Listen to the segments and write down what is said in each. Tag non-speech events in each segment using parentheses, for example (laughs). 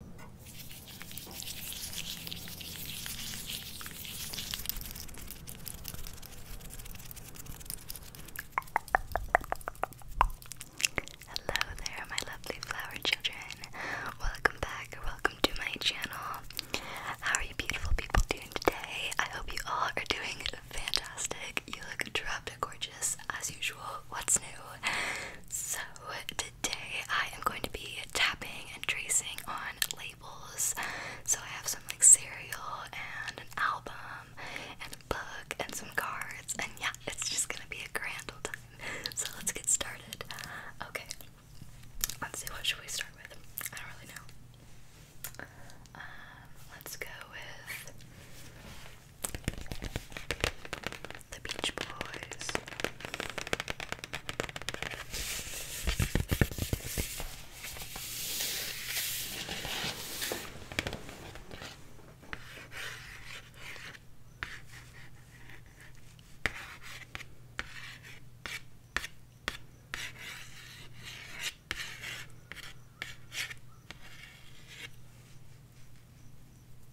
Hello there, my lovely flower children. Welcome back, welcome to my channel. How are you, beautiful people, doing today? I hope you all are doing fantastic. You look drop gorgeous as usual. What's new? So, today I am going to be tapping and tracing on labels. So I have some like cereal and an album and a book and some cards, and yeah, it's just gonna be a grand old time. So let's get started. Okay, let's see what should we start with. I don't really know. Um, let's go with the Beach Boys.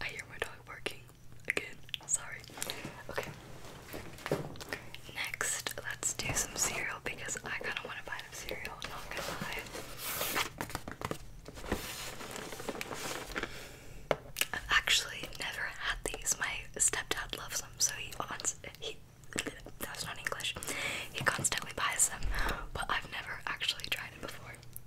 I hear my dog barking again. Sorry. Okay. Next, let's do some cereal because I kind of want to buy some cereal. Not gonna lie. I've actually never had these. My stepdad loves them, so he wants he. That's not English. He constantly buys them, but I've never actually tried it before.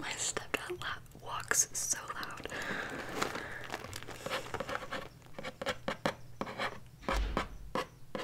My stepdad walks so loud.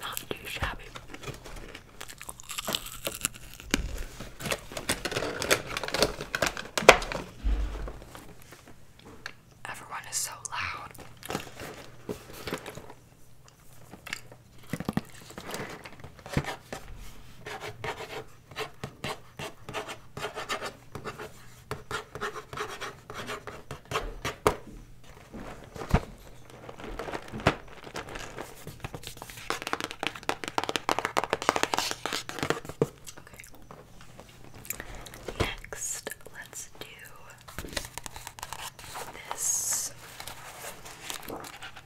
Not too shabby. Everyone is so loud. Okay. Next, let's do this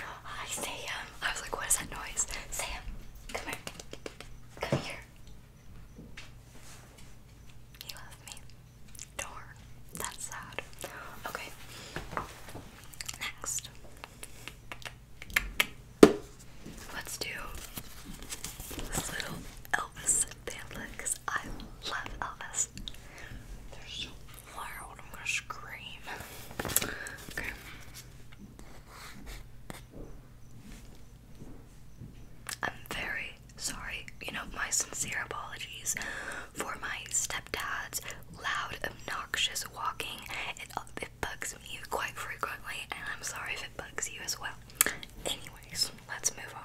Hi Sam. I was like, what is that noise? Sam, come here. Come here. You left me. Darn. That's sad. Okay. Next. Let's do this little Elvis bandlet because I love Elvis. They're so loud, I'm gonna scream. Okay. I'm very sorry. You know, my sincere apologies for my stepdad's loud, obnoxious walking. It, uh, it bugs me quite frequently, and I'm sorry if it bugs you as well. Anyways, let's move on.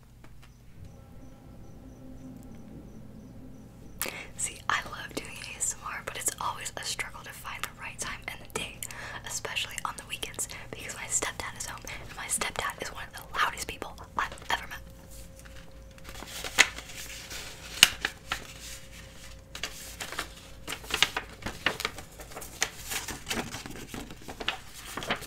See, I love doing ASMR, but it's always a struggle to find the right time and the day, especially on the weekends, because my stepdad is home, and my stepdad is one of the loudest people I've ever met.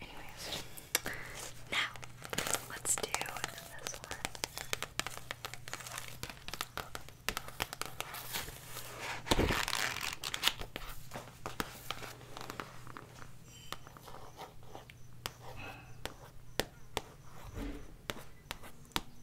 Anyways, now let's do this one.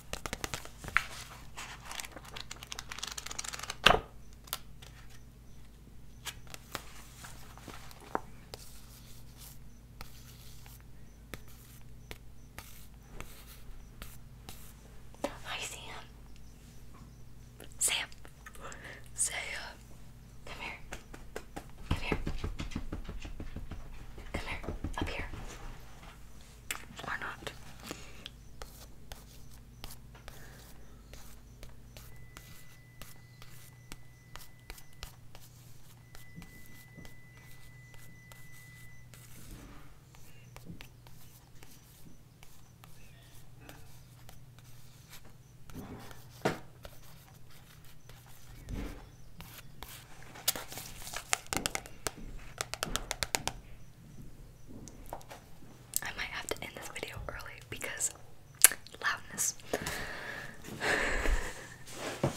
Hi, Sam. Sam. Sam. Come here. Come here. Come here. Up here. Why not. I might have to end this video early because loudness. (laughs)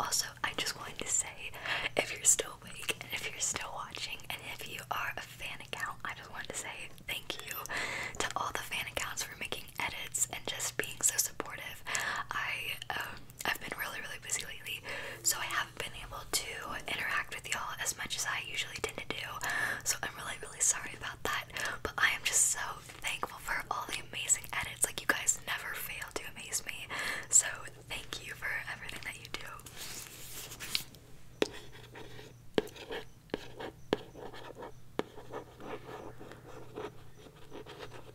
also, I just wanted to say if you're still awake and if you're still watching and if you are a fan account, I just wanted to say thank you to all the fan accounts for making edits and just being so supportive. I um, I've been really really busy lately, so I haven't been able to interact with y'all as much as I usually tend to do. So I'm really really sorry about that. But I am just so thankful for all the amazing edits. Like you guys never fail to amaze me. So thank you for everything that you do.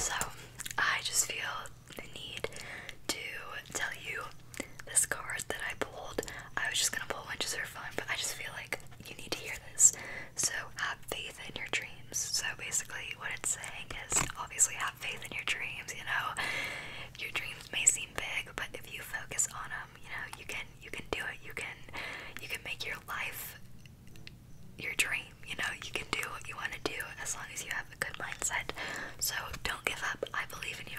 So, I just feel the need to tell you this card that I pulled. I was just gonna pull one just for fun, but I just feel like you need to hear this. So, have faith in your dreams. So, basically, what it's saying is obviously have faith in your dreams, you know. Your dreams may seem big, but if you focus on them, you know, you can you can do it. You can you can make your life your dream. You know, you can do what you want to do as long as you have a good mindset. So don't give up. I believe in you.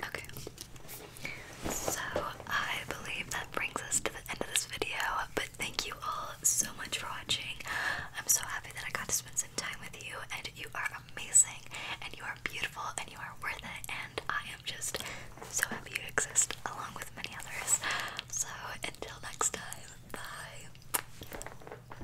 Okay. So I believe that brings us to the end of this video. But thank you all so much for watching. I'm so happy that I got to spend some time with you, and you are amazing, and you are beautiful, and you are worth it. And I am just so happy you exist, along with many others. So until next time, bye.